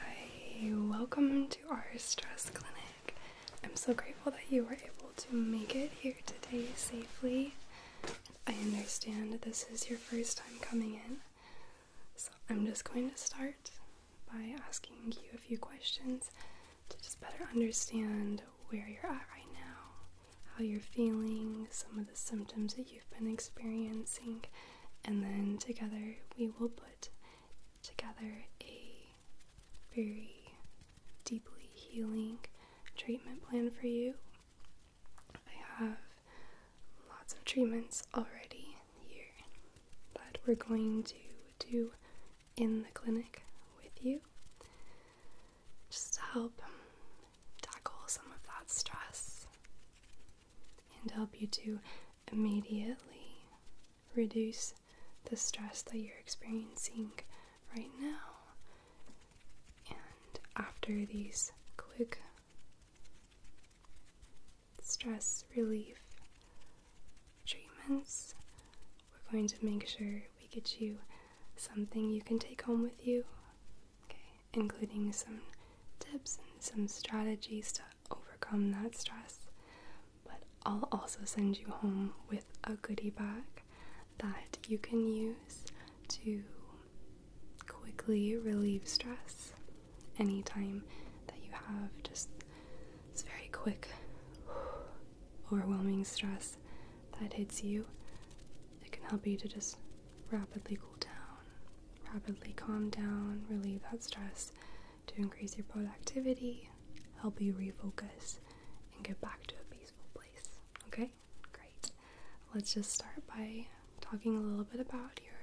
Hi, welcome to our stress clinic. I'm so grateful that you were able to make it here today safely. I understand this is your first time coming in, so I'm just going to start by asking you a few questions to just better understand where you're at right now, how you're feeling, some of the symptoms that you've been experiencing, and then together we will put together a very deeply healing treatment plan for you. I have lots of treatments already here that we're going to do in the clinic with you just to help tackle some of that stress and help you to immediately reduce the stress that you're experiencing right now. And after these quick stress relief treatments, we're going to make sure we get you something you can take home with you, okay, including some tips and some strategy stuff overcome that stress. But I'll also send you home with a goodie bag that you can use to quickly relieve stress anytime that you have just this very quick, overwhelming stress that hits you. It can help you to just rapidly cool down rapidly calm down, relieve that stress, to increase your productivity, help you refocus, and get back to a peaceful place. Okay? Great. Let's just start by talking a little bit about your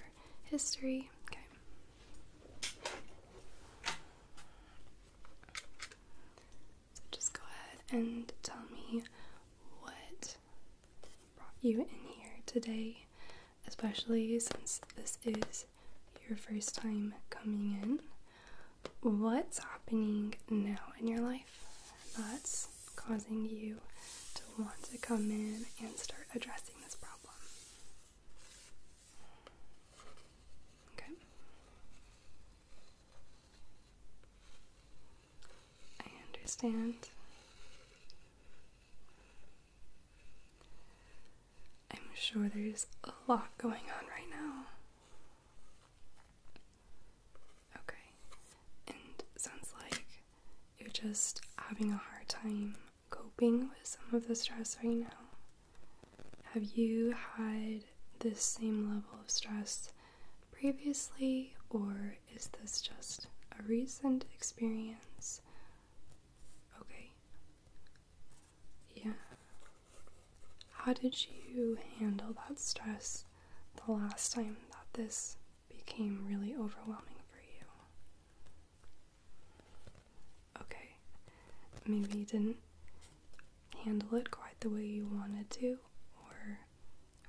history. Okay. just go ahead and tell me what brought you in here today especially since this is your first time coming in. What's happening now in your life that's causing you to want to come in and start addressing this problem? Okay. I understand. I'm sure there's a lot going on right now. Okay, and sounds like you're just having a hard time coping with some of the stress right now. Have you had this same level of stress previously, or is this just a recent experience? Okay. Yeah. How did you handle that stress the last time that this became really overwhelming for you? Okay. Maybe you didn't handle it quite the way you wanted to, or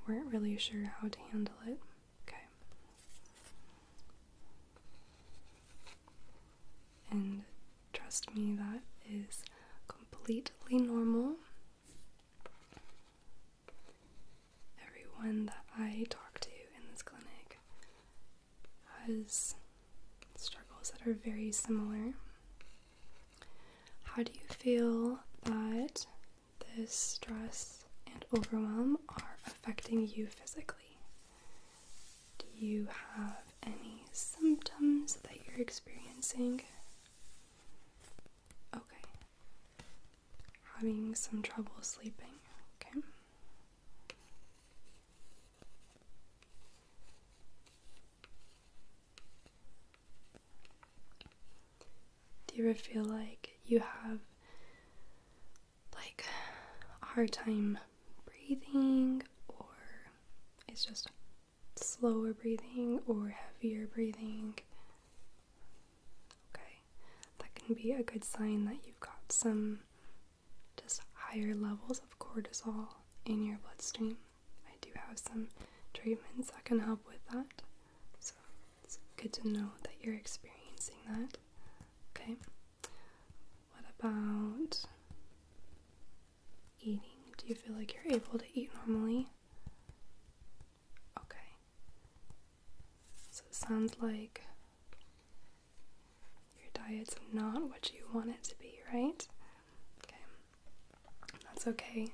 weren't really sure how to handle it. Okay. And trust me, that is completely normal. Everyone that I talk to in this clinic has struggles that are very similar. How do you feel that this stress and overwhelm are affecting you physically? Do you have any symptoms that you're experiencing? Okay. Having some trouble sleeping, okay? Do you ever feel like you have like hard time breathing, or it's just slower breathing or heavier breathing. Okay, that can be a good sign that you've got some just higher levels of cortisol in your bloodstream. I do have some treatments that can help with that, so it's good to know that you're experiencing that. Okay. What about eating? Do you feel like you're able to eat normally? Okay. So it sounds like your diet's not what you want it to be, right? Okay. That's okay.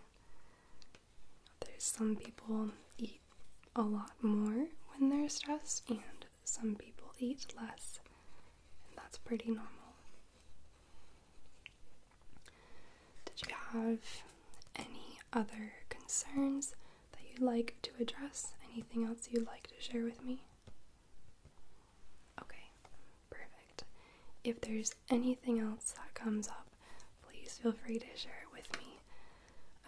There's some people eat a lot more when they're stressed, and some people eat less, and that's pretty normal. Did you have any other concerns that you'd like to address? Anything else you'd like to share with me? Okay, perfect. If there's anything else that comes up, please feel free to share it with me.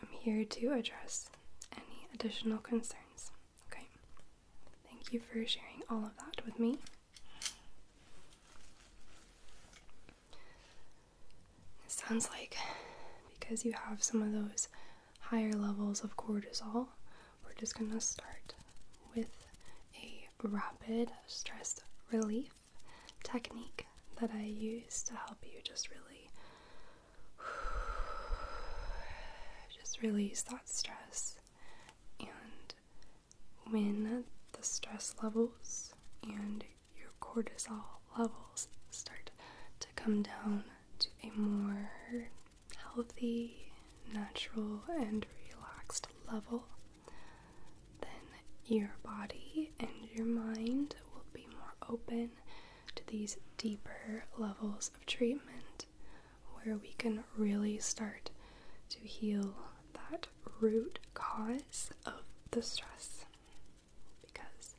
I'm here to address any additional concerns. Okay. Thank you for sharing all of that with me. sounds like because you have some of those higher levels of cortisol, we're just going to start with a rapid stress relief technique that I use to help you just really just release that stress. And when the stress levels and your cortisol levels start to come down to a more healthy, natural, and relaxed level, then your body and your mind will be more open to these deeper levels of treatment where we can really start to heal that root cause of the stress. Because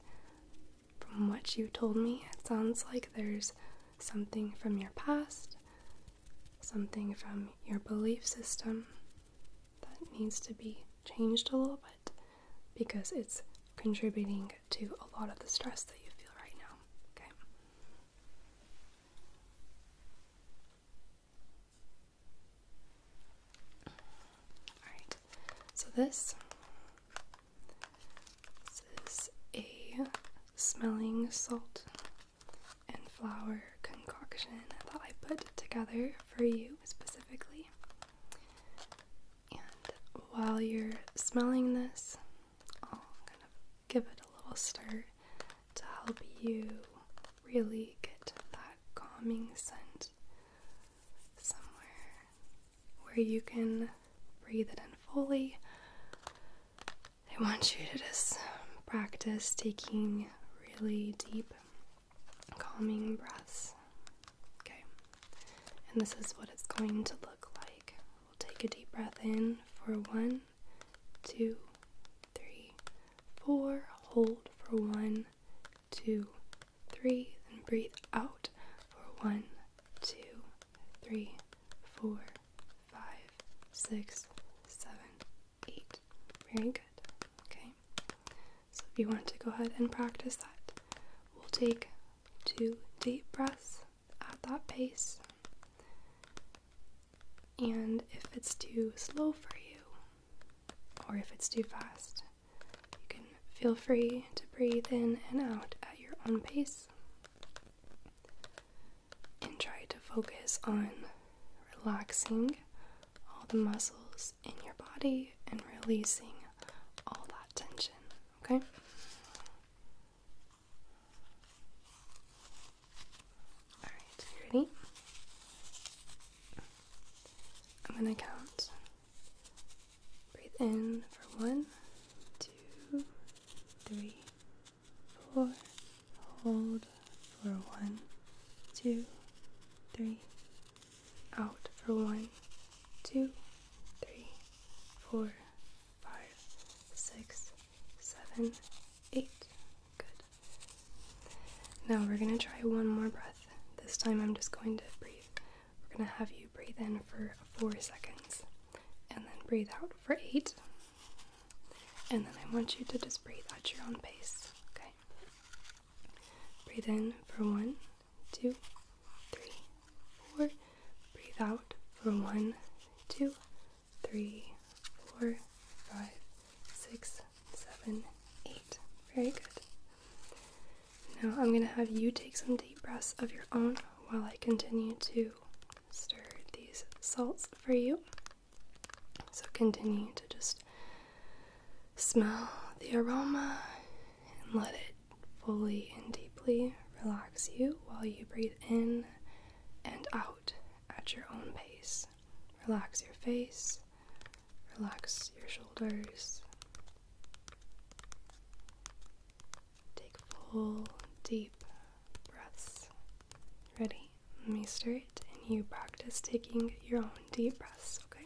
from what you told me, it sounds like there's something from your past, something from your belief system that needs to be changed a little bit because it's contributing to a lot of the stress that you feel right now. Okay. All right. So this, this is a smelling salt and flower concoction that I put together for you specifically. And while you're smelling this, I'll kind of give it a little stir to help you really get that calming scent somewhere where you can breathe it in fully. I want you to just practice taking really deep, calming breaths. Okay, and this is what it's going to look like. We'll take a deep breath in for one, two, three, four. Hold for one, two, three. and breathe out for one, two, three, four, five, six, seven, eight. Very good. Okay. So if you want to go ahead and practice that, we'll take two deep breaths at that pace. And if it's too slow for you, or if it's too fast, you can feel free to breathe in and out at your own pace. And try to focus on relaxing all the muscles in your body and releasing all that tension okay? Alright, ready? I'm gonna count. Breathe in for one, two, three, four. Hold for one, two, three. Out for one, two, three four, five, six, seven, eight. Good. Now we're going to try one more breath. This time I'm just going to breathe. We're going to have you breathe in for four seconds and then breathe out for eight. And then I want you to just breathe at your own pace, okay? Breathe in for one two, three, four. Breathe out for one, two, three, four, five, six, seven, eight. Very good. Now I'm going to have you take some deep breaths of your own while I continue to stir these salts for you. So continue to just smell the aroma and let it fully and deeply relax you while you breathe in and out at your own pace. Relax your face, relax your shoulders. Take full, deep breaths. Ready? Let me start, and you practice taking your own deep breaths, okay?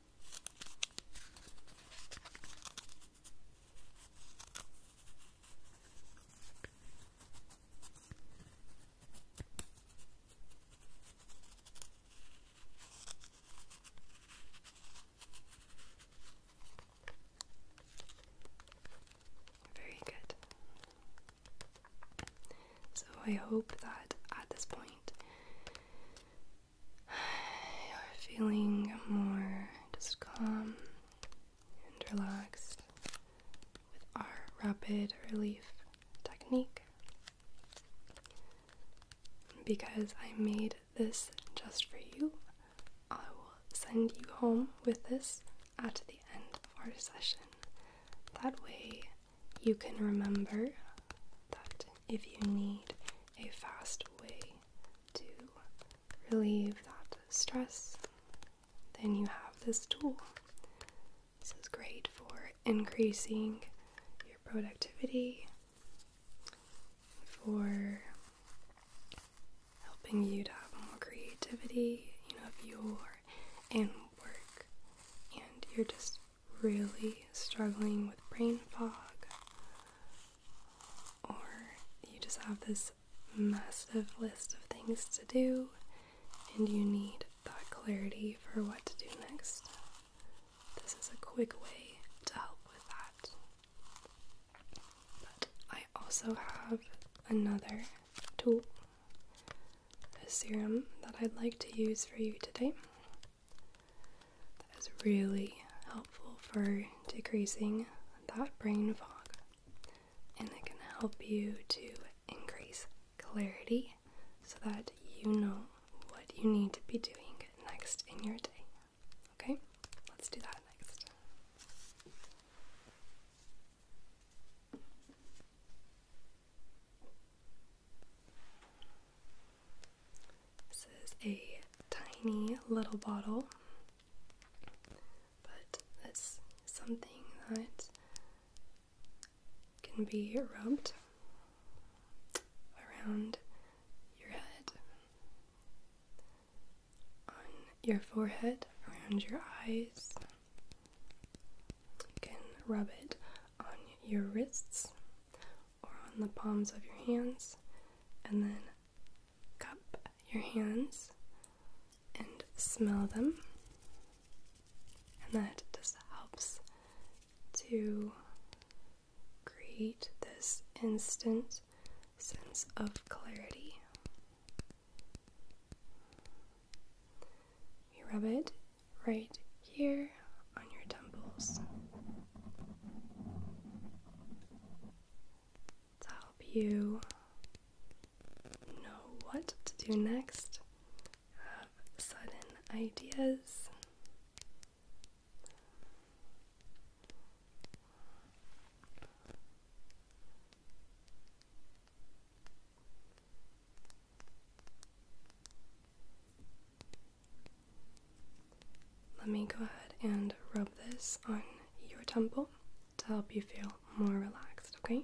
Very good. So I hope that at this point you're feeling more just calm and relaxed with our rapid relief technique. Because I made this just for you, I will send you home with this at the end of our session. That way, you can remember that if you need a fast way to relieve that stress, then you have this tool. This is great for increasing your productivity, for helping you to have more creativity. You know, if you in work and you're just really struggling with brain fog, or you just have this massive list of things to do and you need that clarity for what to do next, this is a quick way to help with that. But I also have another tool, a serum that I'd like to use for you today. That is really helpful for decreasing that brain fog. And it can help you to increase clarity so that you know what you need to be doing next in your day. Okay, let's do that next. This is a tiny little bottle, but it's something that can be rubbed around your head, on your forehead, around your eyes. You can rub it on your wrists or on the palms of your hands, and then cup your hands and smell them. And that just helps to create this instant sense of clarity. You rub it right here on your temples to help you know what to do next, have sudden ideas. Let me go ahead and rub this on your temple to help you feel more relaxed, okay?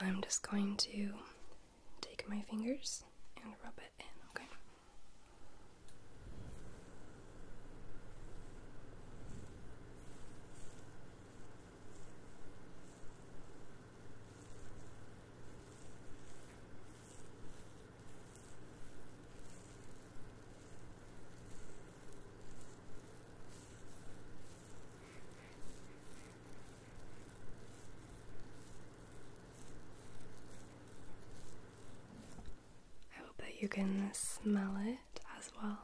Now I'm just going to take my fingers and rub it in, okay? I hope that you can smell it as well.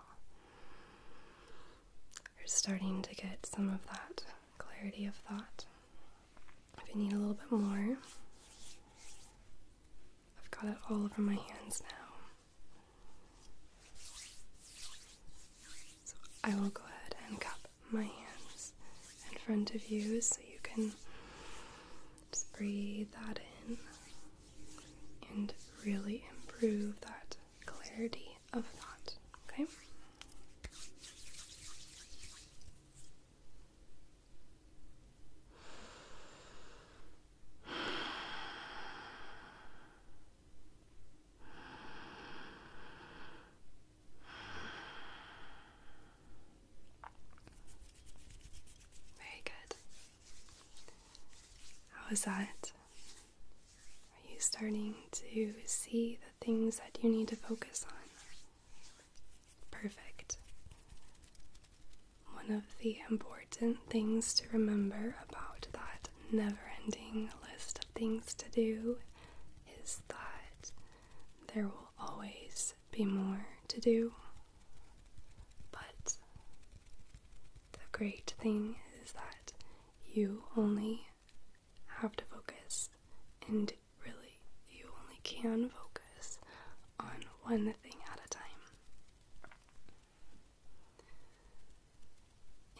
You're starting to get some of that clarity of thought. If you need a little bit more, I've got it all over my hands now. So I will go ahead and cup my hands in front of you so you can just breathe that in and really improve that clarity of thought. Okay? Very good. How is that? Are you starting to see the things that you need to focus on? Perfect. One of the important things to remember about that never ending list of things to do is that there will always be more to do. But the great thing is that you only have to focus and really you only can focus on one thing at a time.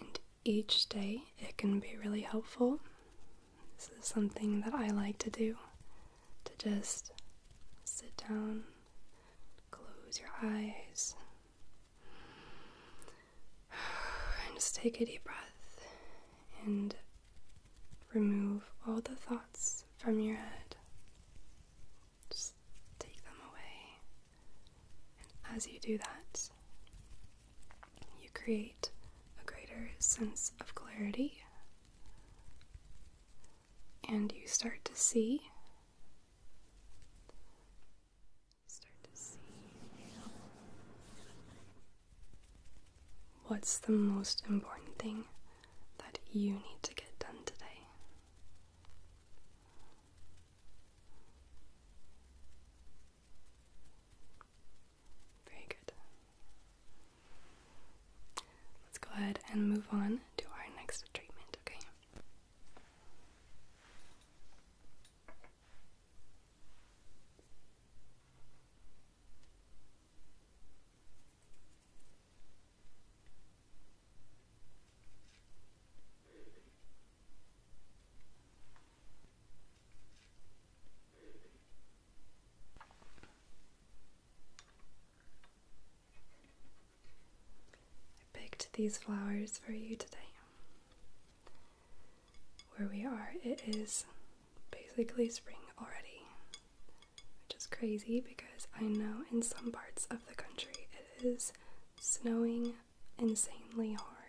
And each day it can be really helpful. This is something that I like to do to just sit down, close your eyes, and just take a deep breath and remove all the thoughts from your head. Just take them away. And as you do that, you create a greater sense of clarity and you start to see. Start to see what's the most important thing that you need to get done today. Very good. Let's go ahead and move on to our next treatment, okay? I picked these flowers for you today. Where we are, it is basically spring already which is crazy because I know in some parts of the country it is snowing insanely hard.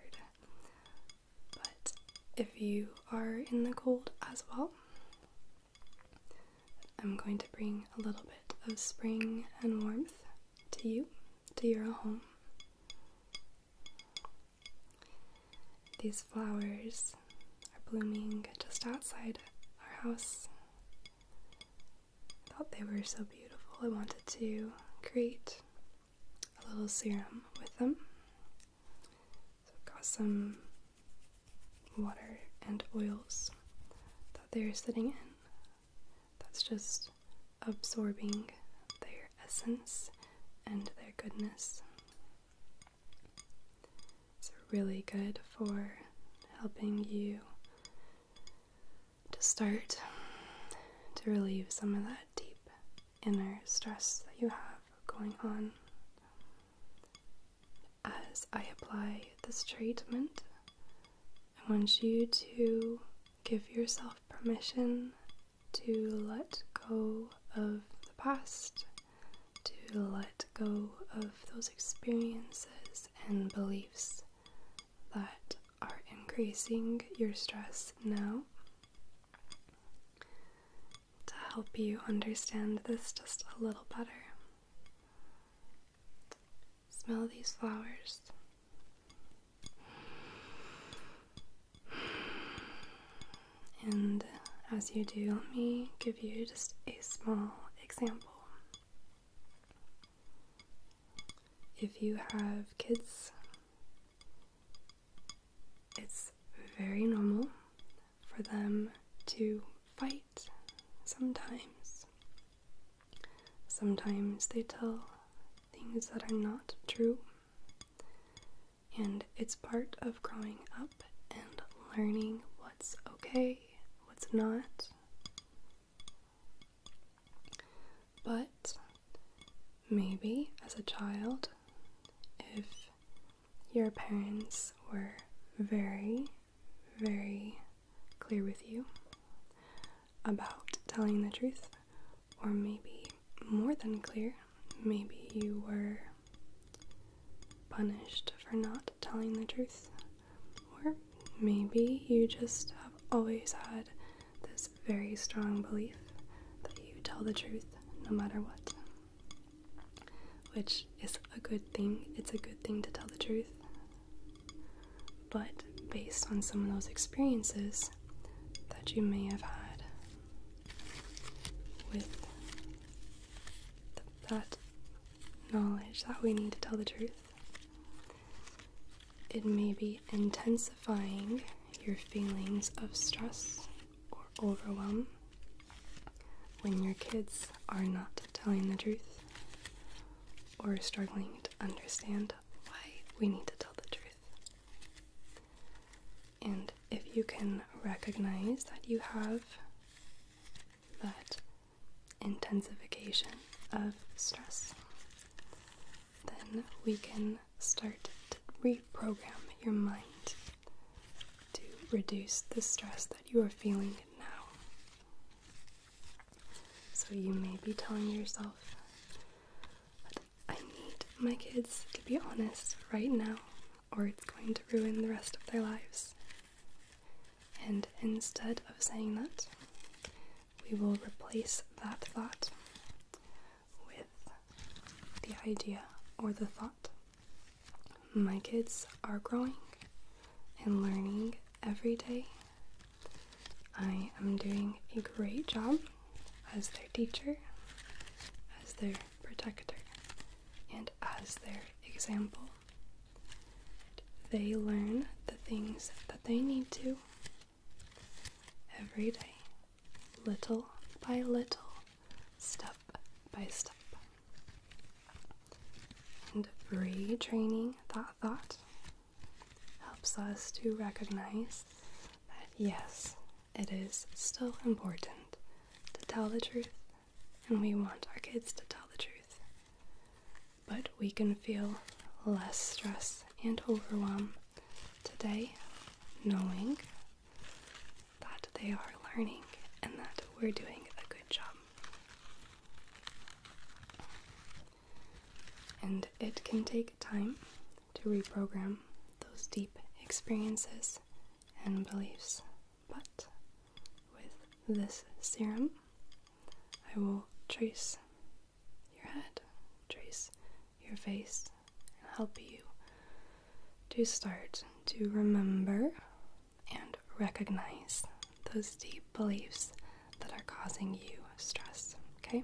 But if you are in the cold as well, I'm going to bring a little bit of spring and warmth to you, to your home. These flowers are blooming just outside our house I thought they were so beautiful. I wanted to create a little serum with them. So I've got some water and oils that they're sitting in. That's just absorbing their essence and their goodness. It's really good for helping you to start to relieve some of that deep inner stress that you have going on. As I apply this treatment, I want you to give yourself permission to let go of the past, to let go of those experiences and beliefs that are increasing your stress now. To help you understand this just a little better, smell these flowers. And as you do, let me give you just a small example. If you have kids, it's very normal for them to fight sometimes. Sometimes they tell things that are not true, and it's part of growing up and learning what's okay what's not. But maybe as a child, if your parents were very, very clear with you about telling the truth, or maybe more than clear, maybe you were punished for not telling the truth. Or maybe you just have always had this very strong belief that you tell the truth no matter what. Which is a good thing. It's a good thing to tell the truth. But based on some of those experiences that you may have had with that knowledge that we need to tell the truth. It may be intensifying your feelings of stress or overwhelm when your kids are not telling the truth or struggling to understand why we need to tell the truth. And if you can recognize that you have that intensification of stress, then we can start to reprogram your mind to reduce the stress that you are feeling now. So you may be telling yourself, I need my kids to be honest right now, or it's going to ruin the rest of their lives. And instead of saying that, we will replace that thought with the idea or the thought. My kids are growing and learning every day. I am doing a great job as their teacher, as their protector, and as their example. They learn the things that they need to every day, little by little, step by step. And retraining that thought helps us to recognize that yes, it is still important to tell the truth and we want our kids to tell the truth. But we can feel less stress and overwhelm today knowing that they are learning and that we're doing a good job. And it can take time to reprogram those deep experiences and beliefs. But with this serum, I will trace your head, trace your face, and help you to start to remember and recognize those deep beliefs that are causing you stress, okay?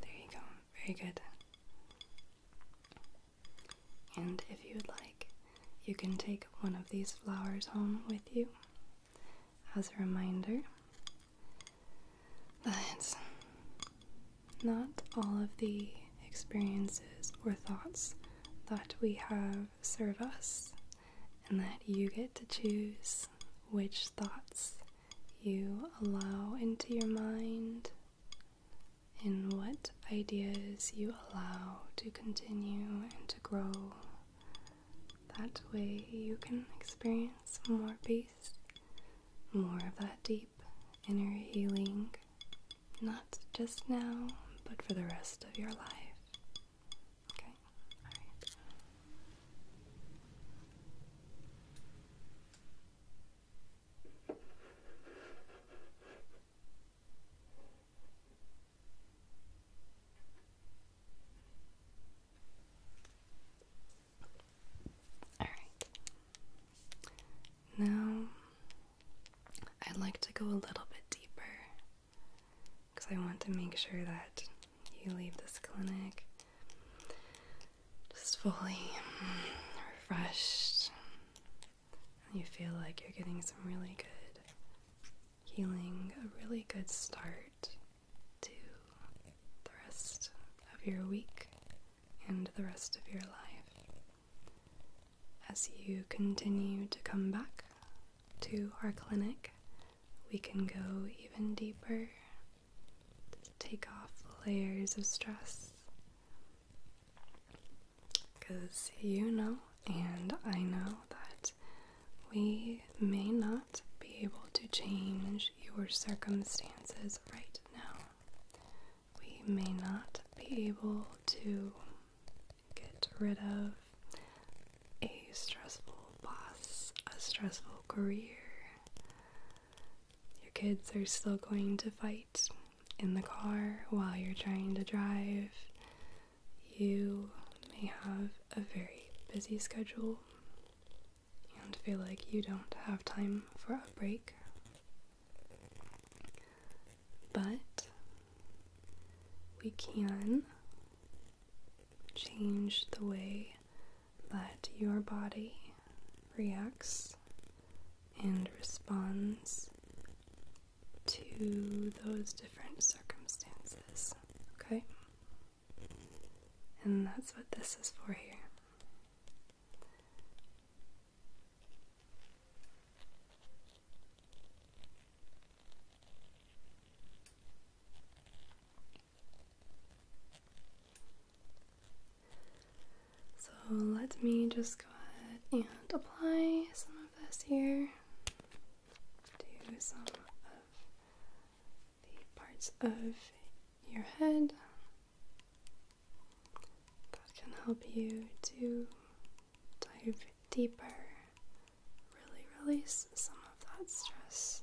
There you go, very good. And if you would like, you can take one of these flowers home with you as a reminder that not all of the experiences or thoughts that we have serve us, and that you get to choose which thoughts you allow into your mind and what ideas you allow to continue and to grow that way you can experience more peace, more of that deep inner healing, not just now, but for the rest of your life. Okay? Alright. Alright. Now, I'd like to go a little bit deeper because I want to make sure that you leave this clinic just fully refreshed and you feel like you're getting some really good healing, a really good start to the rest of your week and the rest of your life as you continue to come back to our clinic we can go even deeper take off layers of stress because you know and I know that we may not be able to change your circumstances right now. We may not be able to get rid of a stressful boss, a stressful career. Your kids are still going to fight in the car while you're trying to drive. You may have a very busy schedule and feel like you don't have time for a break. But we can change the way that your body reacts and responds to those different circumstances. Okay? And that's what this is for here. So let me just go ahead and apply some of this here to some of the parts of your head that can help you to dive deeper, really release some of that stress.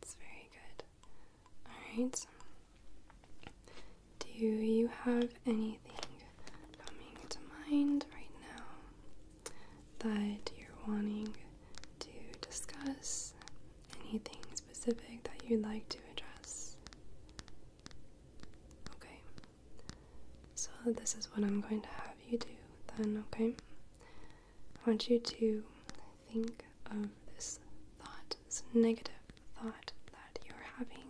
That's very good. All right. Do you have anything coming to mind right now that you're wanting to discuss? Anything specific that you'd like to address? Okay, so this is what I'm going to have you do then, okay? I want you to think of this thought, this negative thought that you're having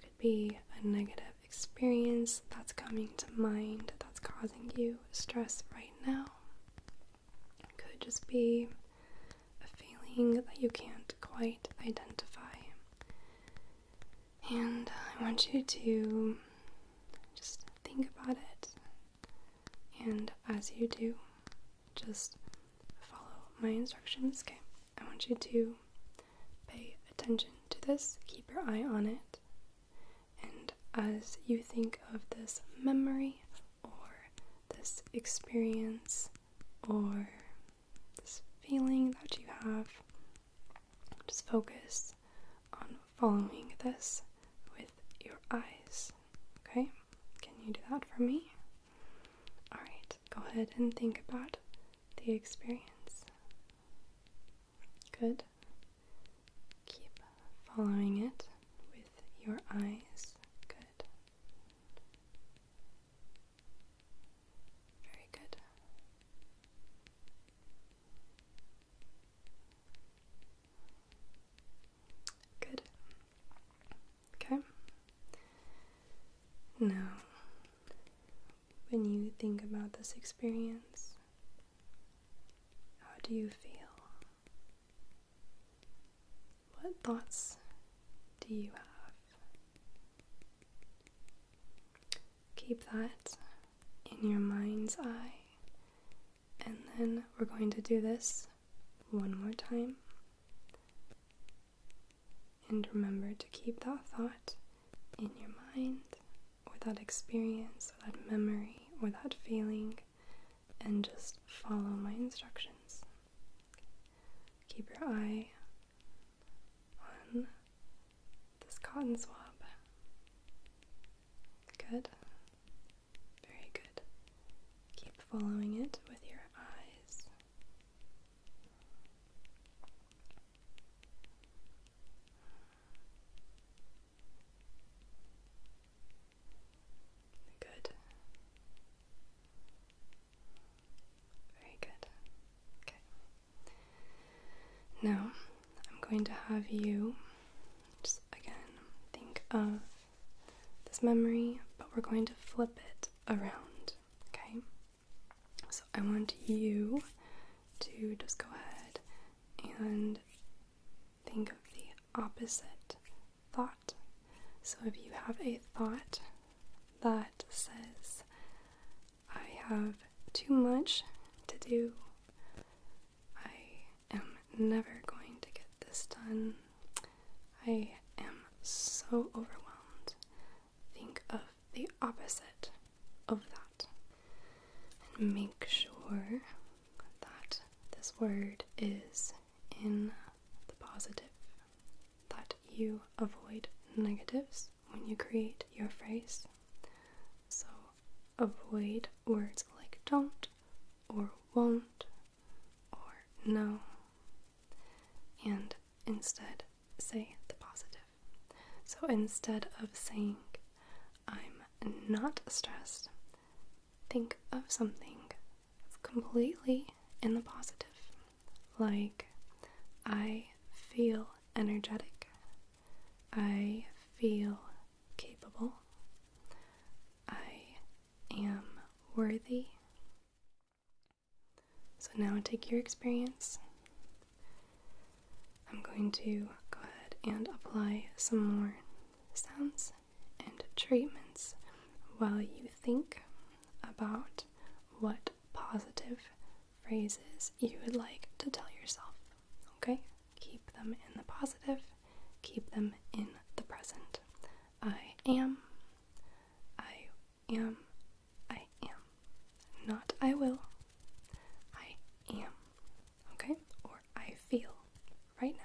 could be a negative experience that's coming to mind that's causing you stress right now. could just be a feeling that you can't quite identify. And uh, I want you to just think about it. And as you do, just follow my instructions, okay? I want you to pay attention to this, keep your eye on it, and as you think of this memory or this experience or this feeling that you have, just focus on following this with your eyes. Okay? Can you do that for me? Alright, go ahead and think about the experience. Good. Keep following it with your eyes. Good. Very good. Good. Okay. Now when you think about this experience? How do you feel? What thoughts do you have? Keep that in your mind's eye. And then we're going to do this one more time. And remember to keep that thought in your mind, or that experience, or that memory, or that feeling, and just follow my instructions. Keep your eye on this cotton swab. Good. Very good. Keep following it with your eyes. Good. Very good. Okay. Now, I'm going to have you just again think of this memory, but we're going to flip it around, okay? So I want you to just go ahead and think of the opposite thought. So if you have a thought that says, I have too much to do, I am never going to get this done, I am so overwhelmed, think of the opposite of that. And make sure that this word is in the positive, that you avoid negatives when you create your phrase. So avoid words like don't or won't or no, and instead say the positive. So instead of saying, I'm not stressed, think of something completely in the positive. Like, I feel energetic. I feel capable. I am worthy. So now take your experience. I'm going to go ahead and apply some more sounds and treatments while you think about what positive phrases you would like to tell yourself. Okay? Keep them in the positive, keep them in the present. I am, I am, I am. Not I will. I am. Okay? Or I feel right now.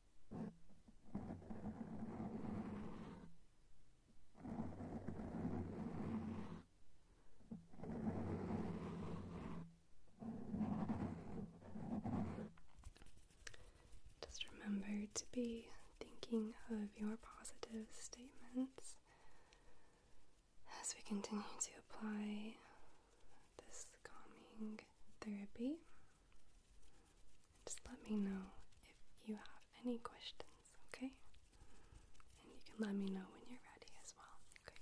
Just remember to be thinking of your positive statements as we continue to apply this calming therapy. Just let me know if you have any questions, okay? And you can let me know when you're ready as well, okay?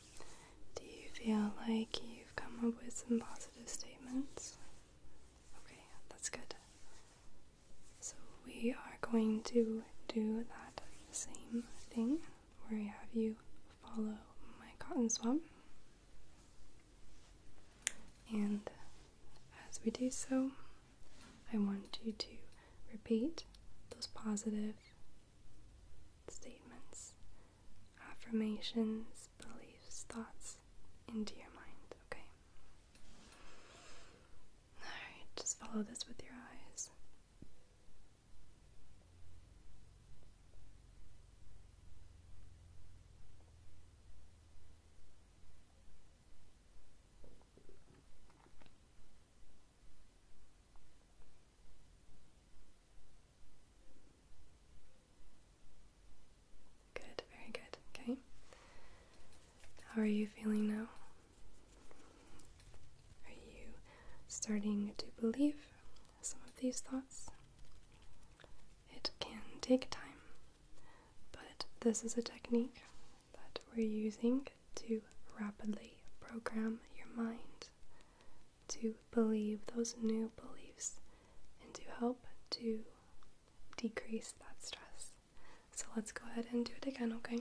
Do you feel like you've come up with some positive statements? Okay, that's good. So we are going to do that same thing where I have you follow my cotton swab. And as we do so, I want you to repeat those positive statements affirmations, beliefs, thoughts into your mind, okay? Alright, just follow this with your eyes. Good, very good. Okay. How are you feeling now? Are you starting to believe some of these thoughts? It can take time, but this is a technique that we're using to rapidly program your mind to believe those new beliefs and to help to decrease that stress. So let's go ahead and do it again, okay?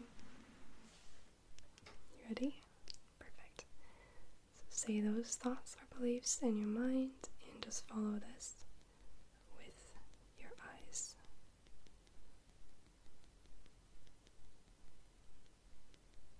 ready? Perfect. So say those thoughts or beliefs in your mind and just follow this with your eyes.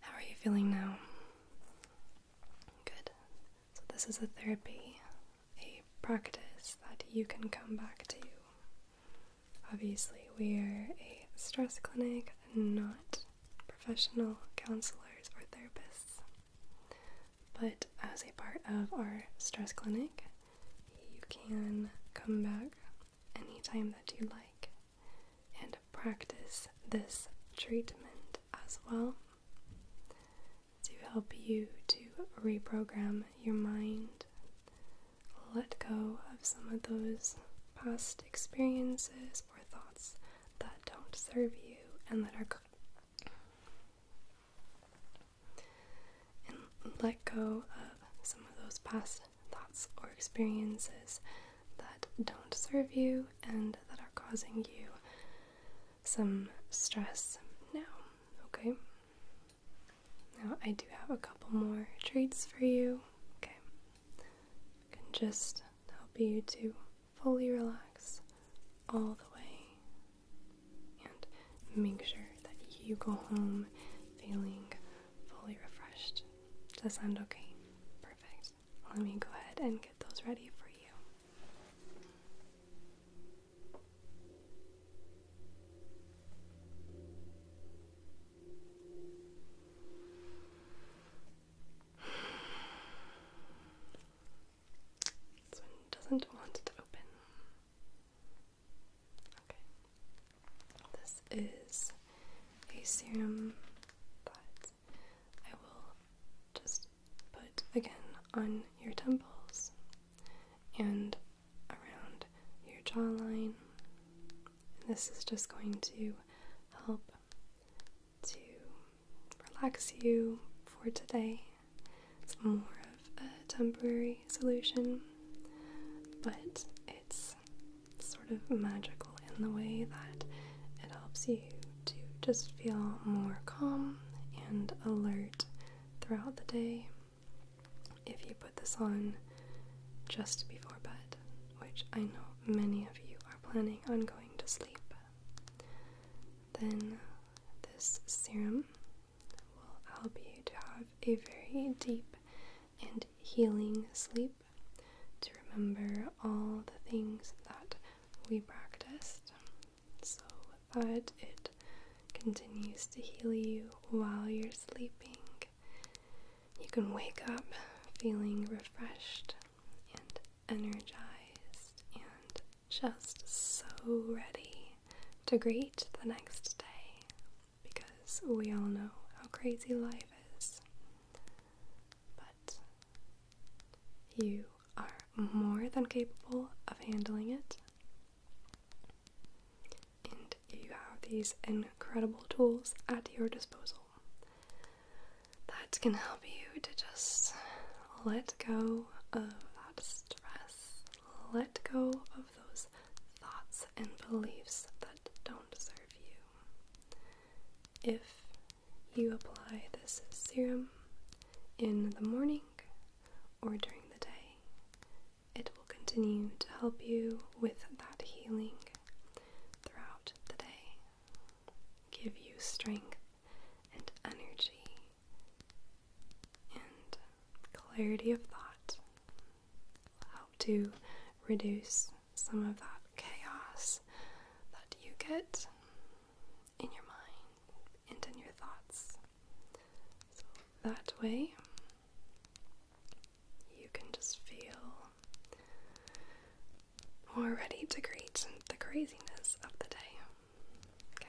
How are you feeling now? Good. So, this is a therapy, a practice that you can come back to. Obviously, we are a stress clinic, not professional counselors or therapists. But as a part of our stress clinic, you can come back anytime that you like and practice this treatment as well to help you to reprogram your mind, let go of some of those past experiences or thoughts that don't serve you and that and let go of some of those past thoughts, or experiences that don't serve you and that are causing you some stress now, okay? Now, I do have a couple more treats for you, okay? can just help you to fully relax all the way and make sure that you go home feeling fully refreshed does that sound okay? Perfect. Let me go ahead and get those ready for you. This one doesn't want to open. Okay. This is a serum that I will just put again on your temples and around your jawline. this is just going to help to relax you for today. It's more of a temporary solution, but it's sort of magical in the way that it helps you to just feel more calm and alert throughout the day if you put this on just before bed, which I know many of you are planning on going to sleep. Then this serum will help you to have a very deep and healing sleep to remember all the things that we practiced so that it continues to heal you while you're sleeping. You can wake up feeling refreshed and energized and just so ready to greet the next day because we all know how crazy life is. But you are more than capable of handling it, and you have these incredible tools at your disposal that can help you to just let go of that stress, let go of those thoughts and beliefs that don't serve you. If you apply this serum in the morning or during the day, it will continue to help you with that healing throughout the day, give you strength and energy and clarity of thought help to reduce some of that chaos that you get in your mind and in your thoughts. So that way, you can just feel more ready to greet the craziness of the day. Okay.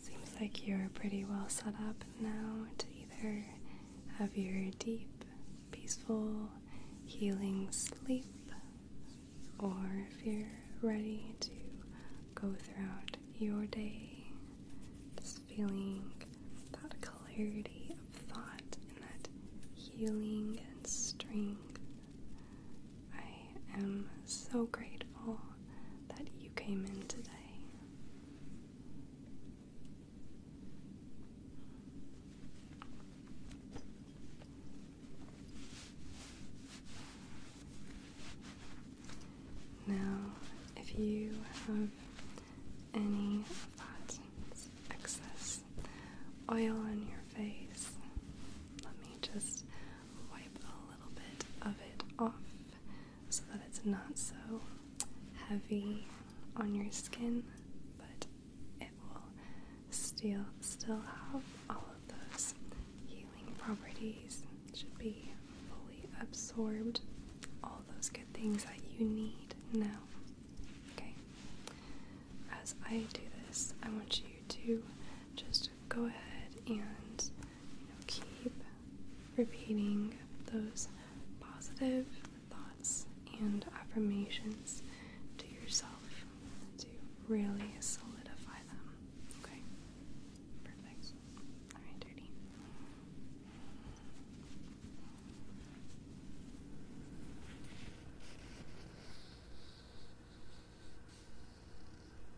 Seems like you're pretty well set up now to either have your deep, peaceful, healing sleep, or if you're ready to go throughout your day, just feeling that clarity of thought and that healing and strength I am so grateful that you came in today. Now, if you have any excess oil on your face, let me just wipe a little bit of it off so that it's not so heavy on your skin, but it will still still have all of those healing properties. should be fully absorbed, all those good things that you need now. Okay. As I do this, I want you to just go ahead and keep repeating those positive thoughts and affirmations to yourself to really solidify them. Okay? Perfect. Alright, dirty.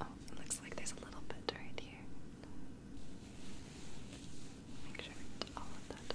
Oh, looks like there's a little bit right here. Make sure it's all of that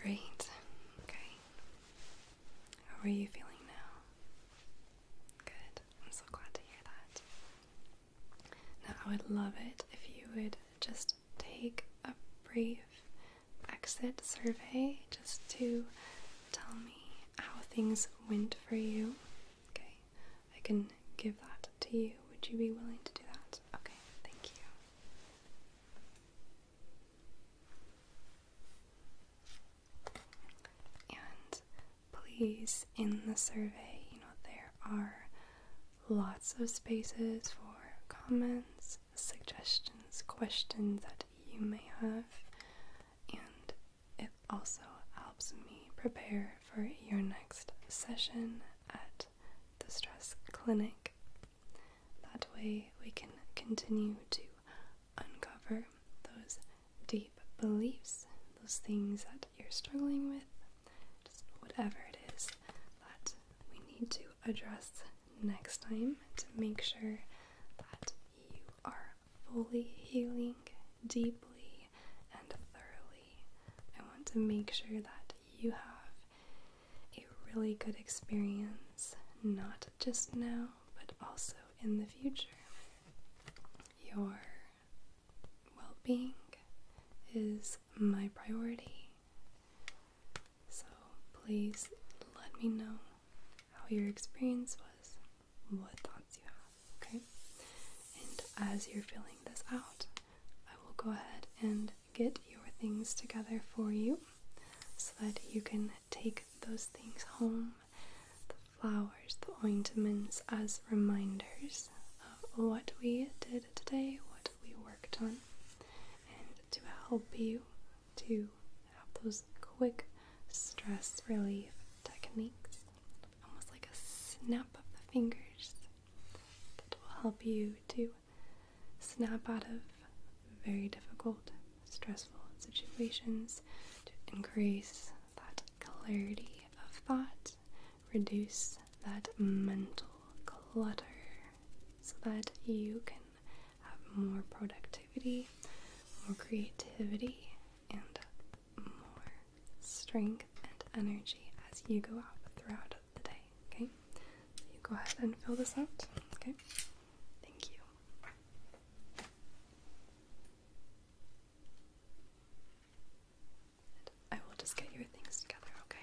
Great. Okay. How are you feeling now? Good. I'm so glad to hear that. Now, I would love it if you would just take a brief exit survey just to tell me how things went for you. Okay, I can give that to you. Would you be willing to do that? Okay, thank you. And please, in the survey, you know, there are lots of spaces for comments, suggestions, questions that you may have, and it also helps me prepare for your next session at the stress clinic. That way, we can continue to uncover those deep beliefs, those things that you're struggling with, whatever it is that we need to address next time to make sure that you are fully healing deeply and thoroughly. I want to make sure that you have a really good experience, not just now, but also in the future. Your well being is my priority. So please let me know how your experience was, what thoughts you have, okay? And as you're filling this out, I will go ahead and get your things together for you so that you can take those things home the flowers, the ointments as reminders of what we did today, what we worked on, and to help you to have those quick stress relief techniques, almost like a snap of the fingers that will help you to snap out of very difficult, stressful situations to increase that clarity of thought, reduce that mental clutter so that you can have more productivity, more creativity, and more strength and energy as you go out throughout Okay, you go ahead and fill this out. Okay, thank you. I will just get your things together. Okay.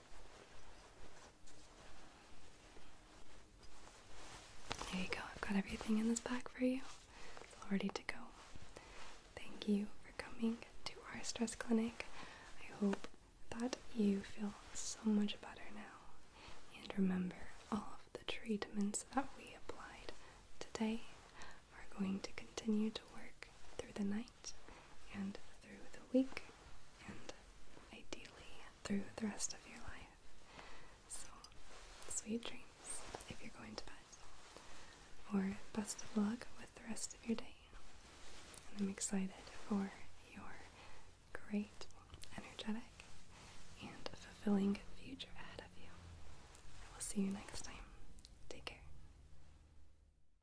There you go, I've got everything in this bag for you. It's all ready to go. Thank you for coming to our stress clinic. I hope that you feel so much better now. And remember, all of the treatments that we applied today are going to continue to work through the night and through the week and ideally through the rest of your life. So, sweet dreams if you're going to bed, or best of luck with the rest of your day. And I'm excited for your great, energetic, and fulfilling future ahead of you. I will see you next time. Take care.